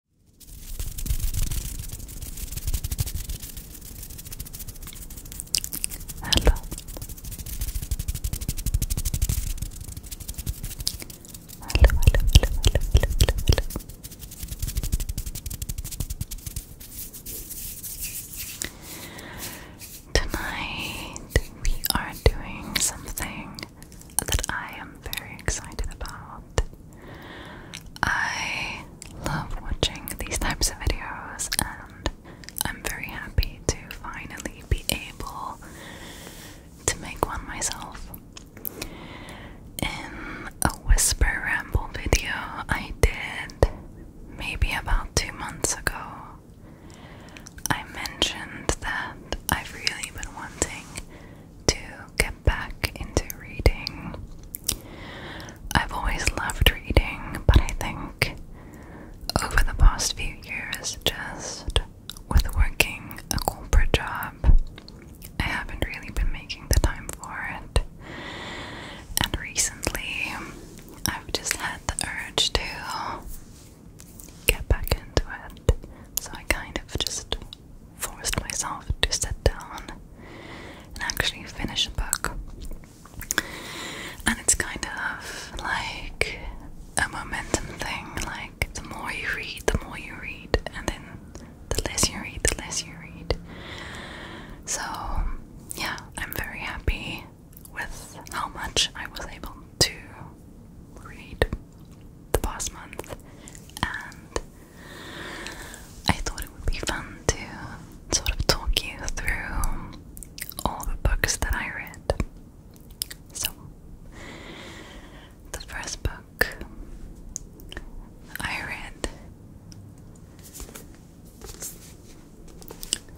Hello. Hello, hello, hello, hello, hello, Tonight we are doing something that I am very excited about. I love watching these types of videos, and I'm very happy to finally be able to make one myself. In a whisper ramble video I did maybe about two months ago, I mentioned that I've really been wanting to get back into reading. I've always loved reading, but I think over the past few years, just with working a corporate job, I haven't really been making the time for it. And recently, I've just had the urge to get back into it. So I kind of just forced myself to sit down and actually finish a book. And it's kind of like a momentum thing, like the more you read, the more you read, and then the less you read, the less you read. So, yeah, I'm very happy with how much I was able to read the past month, and I thought it would be fun to sort of talk you through all the books that I read. So, the first book I read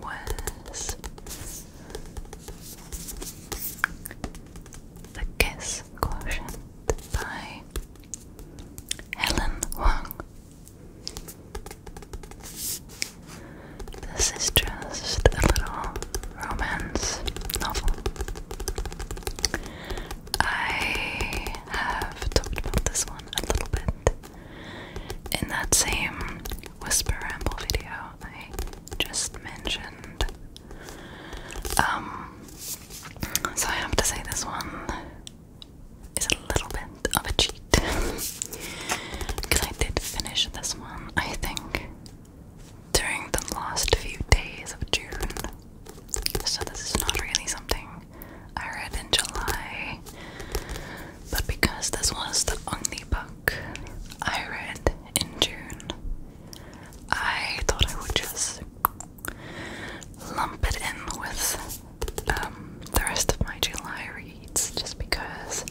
was The Kiss Quotient by Helen Wang. This is just a little romance novel. I have talked about this one a little bit in that same Whisper Ramble video I just mentioned. Um, so I have to say this one is a little bit of a cheat. Because I did finish this one, I think, during the last few days of June. So this is not really something I read in July. But because this was the only book I read in June, I thought I would just lump it in with um, the rest of my July reads just because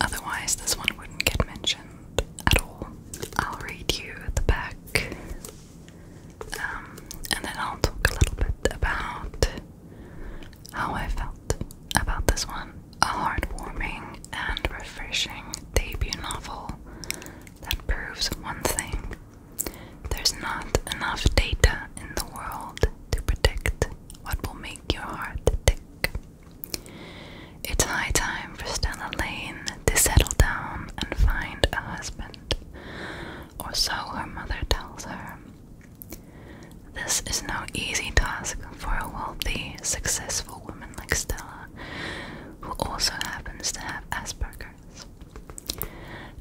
otherwise this one wouldn't get mentioned at all. I'll read you the back um, and then I'll talk a little bit about how I felt about this one. A heartwarming and refreshing debut novel that proves one thing there's not enough data in the world to predict what will make your heart tick. It's high time for Stella Lane to settle down and find a husband, or so her mother tells her. This is no easy task for a wealthy, successful woman like Stella, who also happens to have Asperger's.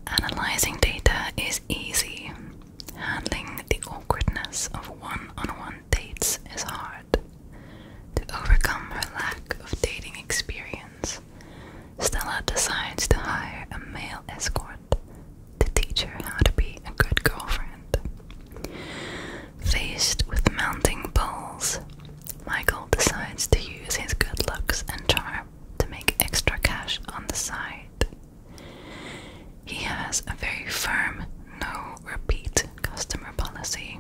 Analyzing data is easy. Handling the awkwardness of one on one dates is hard. To overcome her lack of dating experience, Stella decides to hire a male escort to teach her how to be a good girlfriend. Faced with mounting bulls, Michael decides to use his good looks and charm to make extra cash on the side. He has a very firm no repeat customer policy,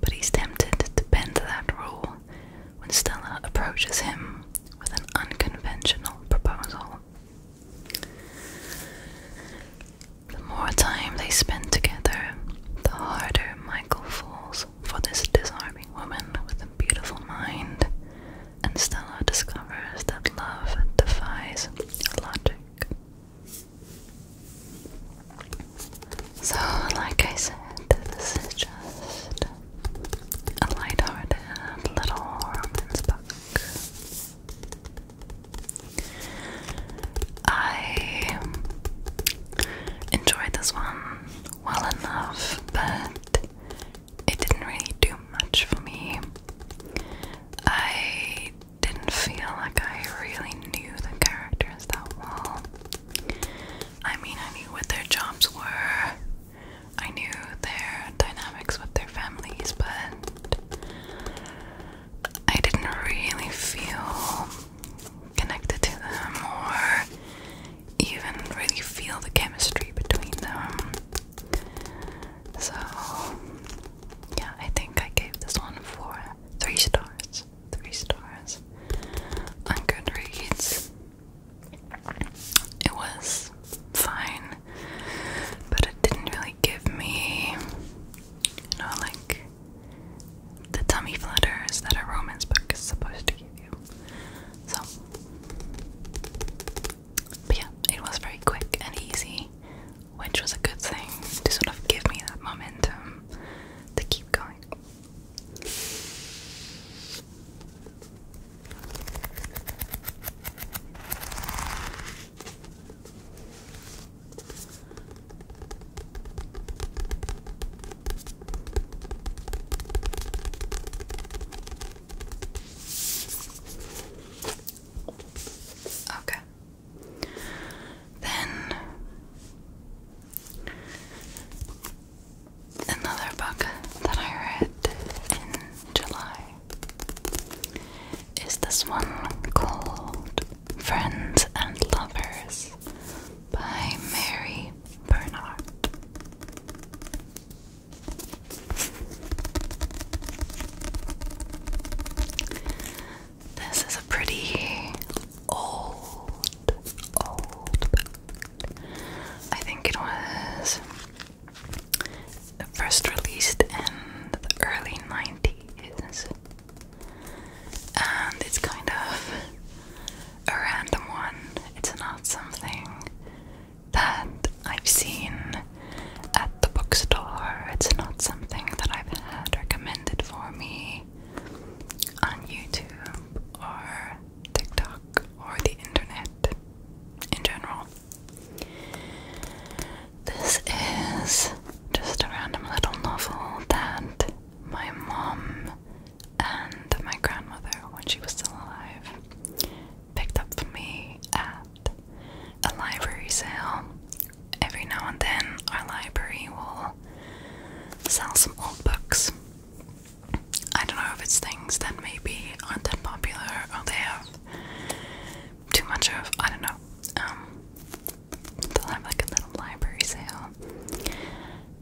but he's tempted to bend that rule when Stella approaches him with an unconventional proposal. The more time they spend together, the harder Michael falls for this disarming woman with a beautiful mind, and Stella discovers that love defies logic. So, like I said, this is just a light-hearted little romance book. I enjoyed this one well enough, but it didn't really do much for me. I didn't feel like I really knew the characters that well. I mean, I knew what their jobs were, I knew their dynamics with their families, but I didn't really feel connected to them more even really feel the chemistry between them. So, yeah, I think I gave this one four, three stars, three stars on Goodreads. It was fine, but it didn't really give me, you know, like the tummy flutters that a romance book is supposed to give you. So, but yeah, it was very quick and easy, which was a good thing to sort of give me that momentum to keep going. Okay. Then another book that I read in July is this one called Friends and Lovers by Mary Bernard. This is a pretty old, old I think it was first released in the early 90s. And it's kind of a random one. It's not something that I've seen at the bookstore. It's not something that I've had recommended for me on YouTube or TikTok or the internet in general. This is just a random little novel that my mom and my grandmother, when she was still alive, picked up for me at a library sale. Every now and then, our library will sell some old books. I don't know if it's things that may be aren't that popular or they have too much of, I don't know. Um, they'll have like a little library sale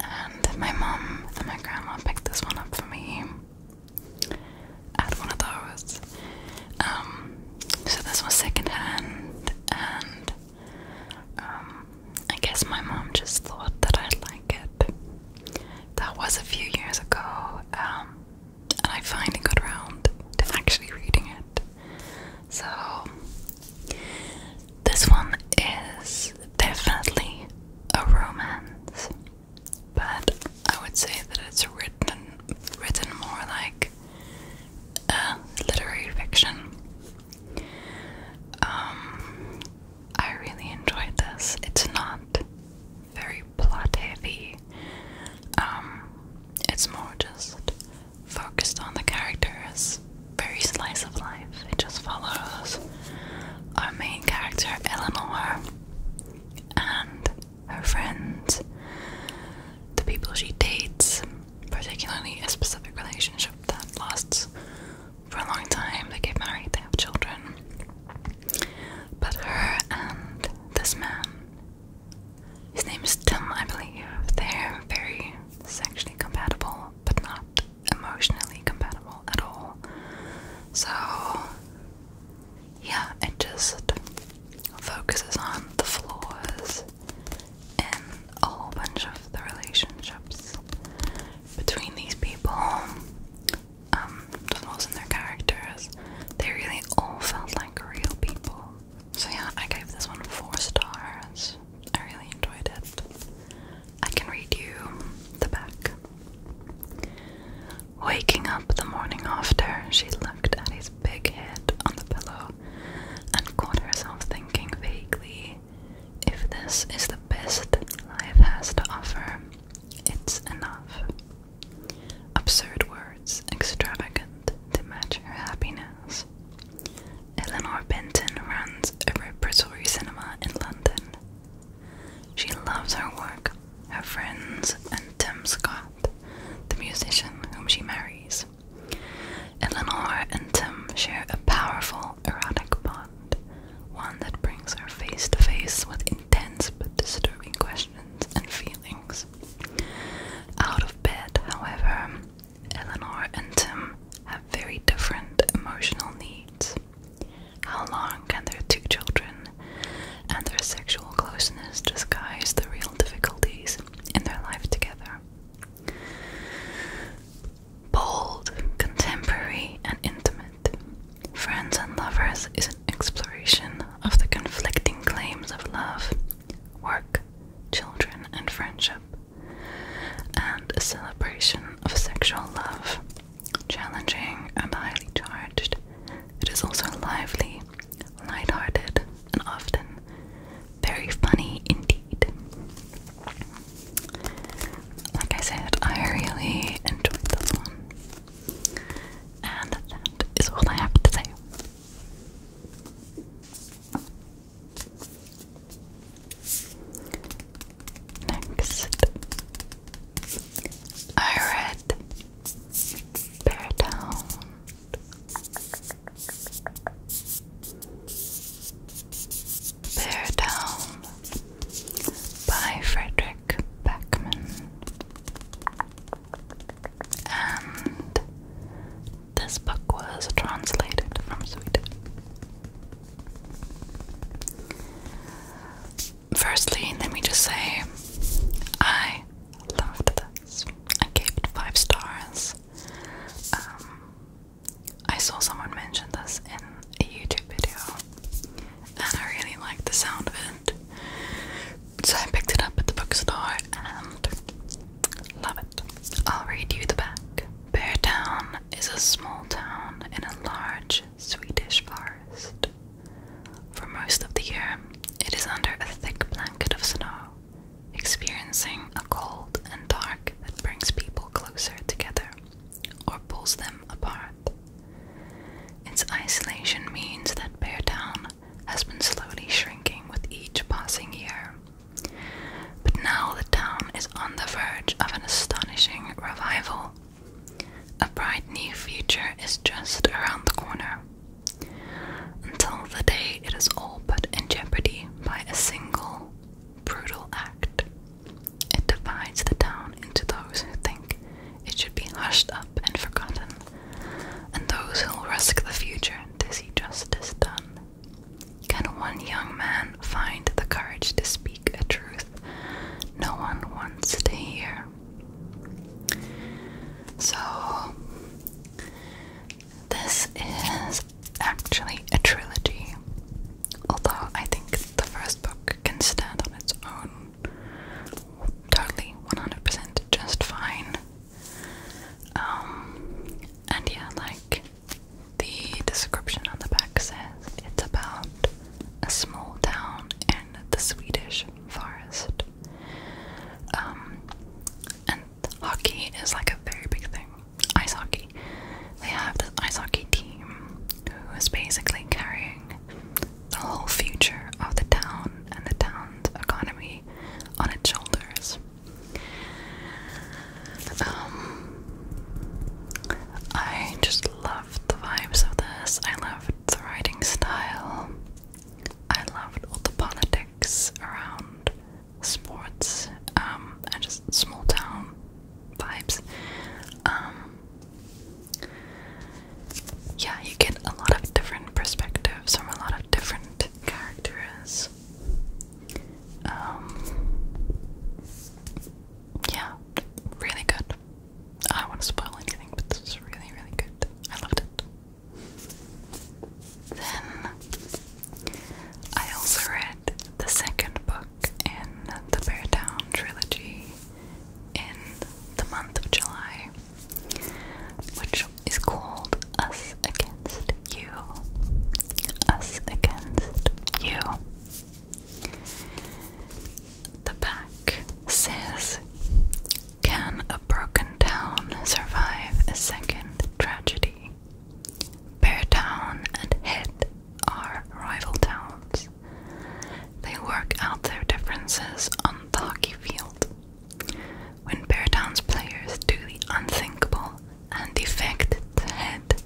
and my mom and my grandma picked this one up for me. I one of those. Um, so this was secondhand, and um, I guess my mom just thought that I'd like it. That was a few years ago, um, and I finally got around to actually reading it. So this one is definitely a romance, but I would say that it's written written more like a literary fiction. Um, I really enjoyed this. It's not very plot heavy. Um, it's more just focused on the characters very slice of life. It just follows our main character, Eleanor, and her friends, the people she dates, particularly a specific relationship that lasts for a long time. They get married, they have children. But her and this man, his name is Tim, I believe, they're very sexually compatible, but not emotionally compatible at all. So, yeah, it just focuses on the flaws in a whole bunch of the relationships between these people, um, flaws in their characters. They really all felt like real people. So, yeah, I gave this one four stars. I really enjoyed it. I can read you the back. Waking up the morning after, she looked at his big head on the pillow and caught herself thinking vaguely if this is the best life has to offer, it's enough. Absurd words, extravagant to match her happiness. Eleanor Benton runs a repertory cinema in London. She loves her work, her friends, and Tim Scott, the musician whom she marries. Eleanor and Tim share a powerful erotic bond, one that brings her face to face with intense but disturbing questions and feelings. Out of bed, however, Eleanor and Tim have very different emotional needs. How long can their two children and their sexual closeness disguise the real difficulties in their life together? Bold, contemporary, and intimate, Friends and Lovers is an exploration of the conflicting claims of love, work, children, and friendship and a celebration of sexual love. Challenging and highly charged, it is also lively, lighthearted, and often very funny indeed. Like I said, I really enjoyed this one. And that is all I have to say. Next, I read Bear Town. Bear Down by Frederick Backman, and this book was translated from Swedish Firstly, let me just say I loved this. I gave it five stars. Um, I saw someone mention this in a YouTube video, and I really liked the sound of it. So I picked it up at the bookstore and love it. I'll read you the back. Bear down is a small town in a large Swedish forest. For most of the year, it is under a thick blanket of snow, experiencing a cold and dark that brings people closer together or pulls them apart. Its isolation means that Bear Town has been slowly shrinking with each passing year but now the town is on the verge of an astonishing revival. A bright new future is just around the corner. Until the day it is all put in jeopardy by a single brutal act. It divides the town into those who think it should be hushed up and forgotten, and those who'll risk the future to see justice done. Can one young man find the courage to speak a truth no one wants to hear? So, this is actually a trilogy, although I think the first book can stand on its own totally 100% just fine. Um, and yeah, like the description on the back says it's about a small town in the Swedish forest. Um, and hockey is like a very big thing. Ice hockey. They have this ice hockey team who is basically carrying the whole future of the town and the town's economy on its shoulders. Um, I just loved the vibes of this. I loved the writing style. I loved all the politics around sports um, and just small town vibes. Um, yeah, you get a lot of different perspectives from a lot of different characters yeah, really good. I don't want to spoil anything, but this is really, really good. I loved it. Then I also read the second book in the Bear Down trilogy in the month of July, which is called Us Against You. Us Against You. The back says Can a broken town survive a second tragedy? Beartown and Head are rival towns. They work out their differences on the hockey field. When Bear Town's players do the unthinkable and defect to Head,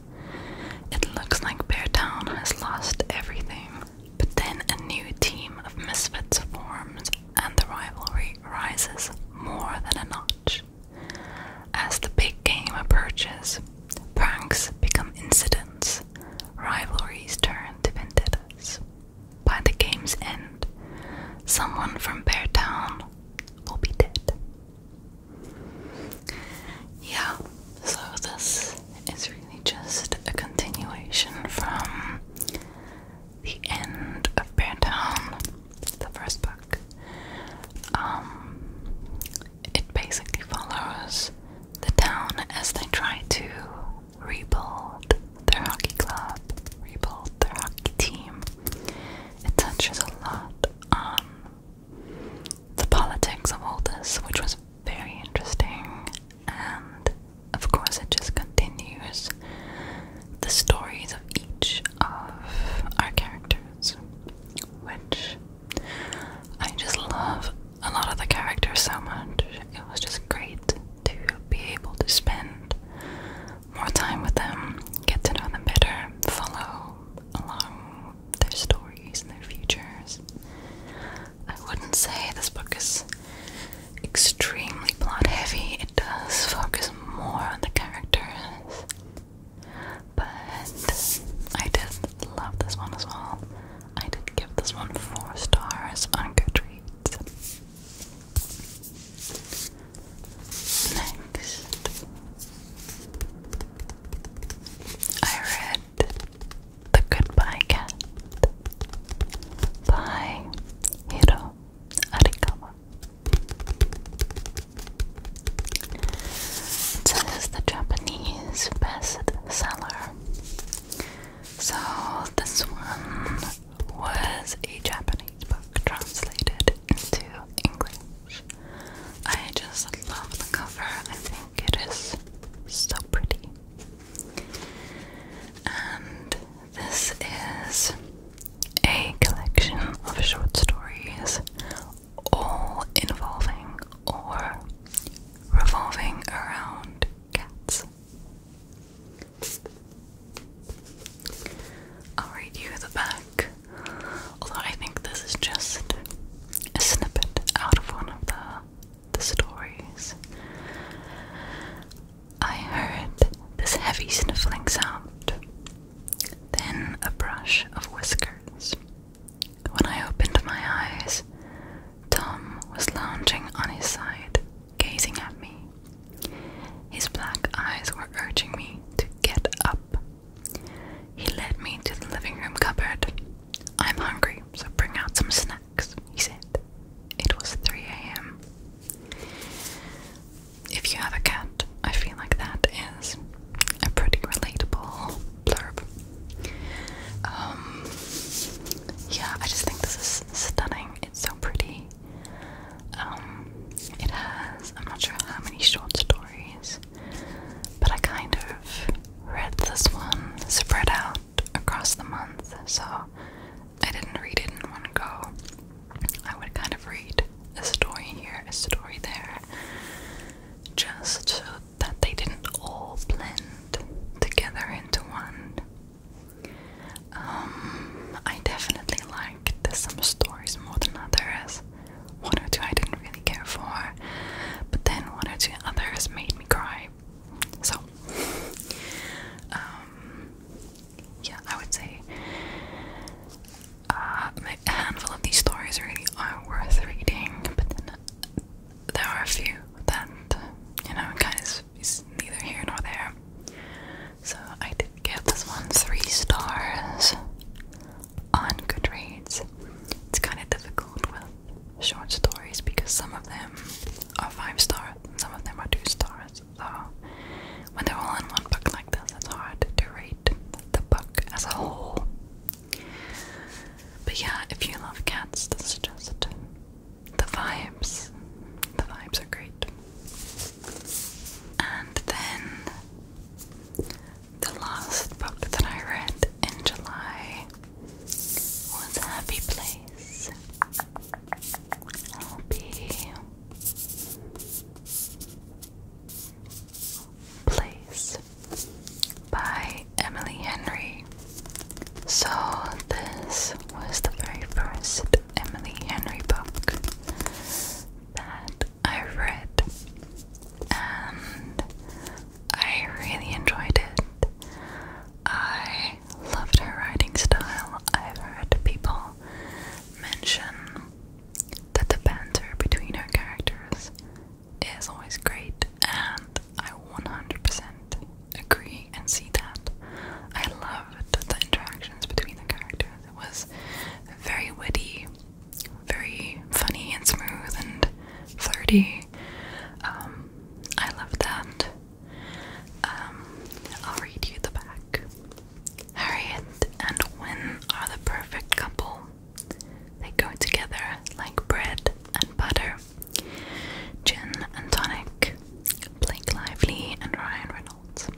it looks like Bear Town has lost everything. But then a new team of misfits forms, and the rivalry rises more than a notch. As the big game approaches, pranks become incidents, rivalries turn to vendettas. By the game's end, someone from Bear Town will be dead. Yeah, so this is really just a continuation from the end of Beartown, the first book. Um, it basically follows the town as they try to rebuild their hockey club, rebuild their hockey team. It touches a lot on the politics of all this, which was very interesting, and of course, it just continues the stories of each of our characters, which I just love a lot of the characters so much. It was just great to be able to spend more time with them, get to know them better, follow along their stories and their futures. I wouldn't say this book is extremely plot heavy, it does focus more on the characters. But I did love this one as well. I did give this one four stars on Goodreads. Next, I read the Goodbye Cat by Hiro Arikawa. this is the Japanese best So this one was a Japanese book translated into English. I just love the cover. I think it is so pretty. And this is a collection of short stories, all involving or revolving around cats. I'll read you the back Although I think this is just a snippet out of one of the the stories. I heard this heavy sniffling sound, then a brush of whiskers. When I opened my eyes, Tom was lounging on his side, gazing at me. His black eyes were urging me to get up. He led me to the living room cupboard. I'm hungry, so bring out some snacks, he said. It was 3 a.m. If you have a cat, I feel like that is a pretty relatable blurb. Um, yeah, I just think this is stunning. It's so pretty. Um, it has, I'm not sure how many short stories, but I kind of read this one spread out across the month, so I didn't read it in one go. I would kind of read a story here, a story there, just so that they didn't all blend together into one. Um, I definitely liked some stories more than others. One or two I didn't really care for, but then one or two others made me cry. So, um, yeah, I would say a uh, handful of these stories really are worth reading, but then uh, there are a few that, you know, kind of is neither here nor there. So I did give this one three stars on Goodreads. It's kind of difficult with short stories because some of them are five stars and some of them are two stars. So when they're all in one book like this, it's hard to rate the book as a whole. But yeah, if you love cats, this is just the vibes. The vibes are great. And then the last book that I read in July was Happy Place. Happy Place by Emily Henry. So, this was the very first Emily Henry book that I read and I really enjoyed it. I loved her writing style. I've heard people mention that the banter between her characters is always great, and I 100% agree and see that. I loved the interactions between the characters. It was very witty, very funny and smooth and flirty. Um, I love that. Um, I'll read you the back. Harriet and Win are the perfect couple. They go together like bread and butter. Gin and tonic. Blake Lively and Ryan Reynolds.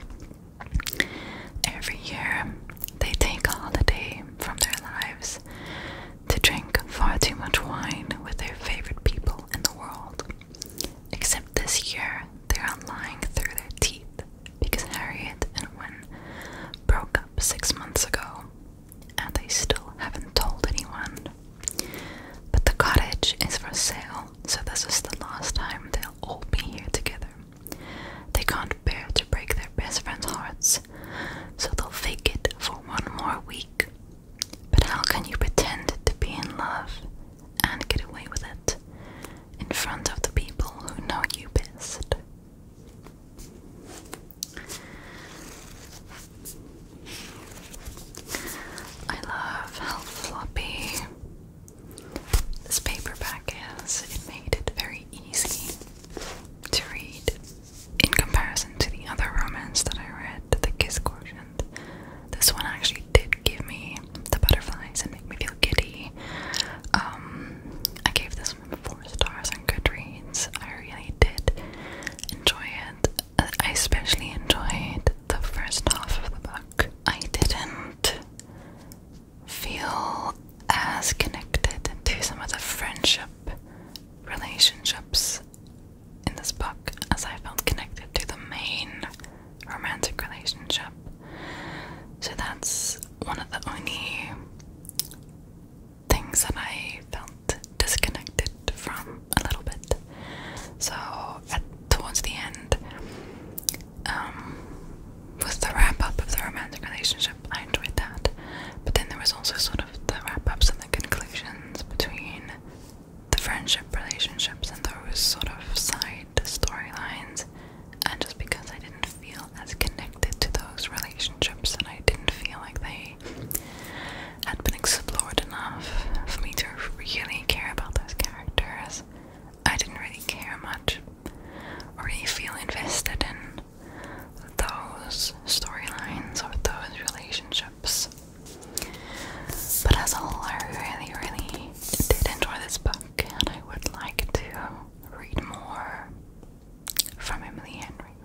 Every year, they take all the day from their lives to drink far too much wine with their favorite people in the world. Except this year, they're lying through their teeth because Harriet and Wynne broke up six months ago, and they still haven't told anyone. But the cottage is for sale, so this is the last time they'll all be here together. They can't bear to break their best friend's hearts, so they'll fake it for one more week. But how can you pretend to be in love and get away with it in front of the people who know you best? I love how floppy this paperback is. It made it very easy to read in comparison to the other romance that I read, The Kiss Quotient, this one actually did give me the butterflies and make me feel giddy. Um, I gave this one four stars on Goodreads. I really did enjoy it. I especially enjoyed the first half of the book. I didn't feel as connected to some of the friendship relationships in this book as I felt connected to the main romantic relationship. So that's one of the only things that I felt disconnected from a little bit. So towards the end, um, with the wrap up of the romantic relationship. I enjoyed that. But then there was also sort of the wrap ups and the conclusions between the friendship relationships and those sort of side storylines. And just because I didn't feel as connected to those relationships and I didn't feel like they had been explored enough for me to really care about those characters, I didn't really care much or really feel invested in those storylines or those relationships. But as a whole, I really, really did enjoy this book, and I would like to read more from Emily Henry.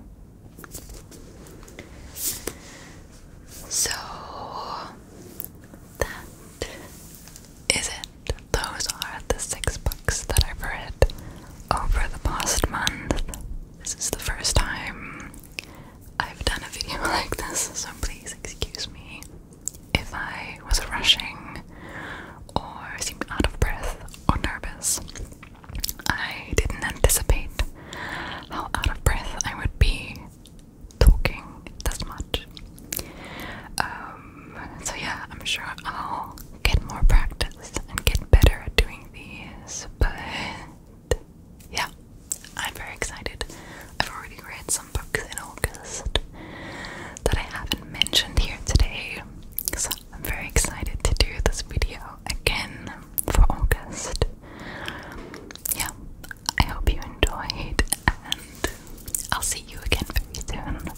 So that is it. Those are the six books that I've read over the past month. This is the first time I've done a video like this, so please excuse me if I was rushing or seemed out of breath or nervous. I didn't anticipate how out of breath I would be talking this much. Um, so, yeah, I'm sure I'll get more practice and get better at doing but yeah, I'm very excited. I've already read some books in August that I haven't mentioned here today, so I'm very excited to do this video again for August. Yeah, I hope you enjoyed, and I'll see you again very soon.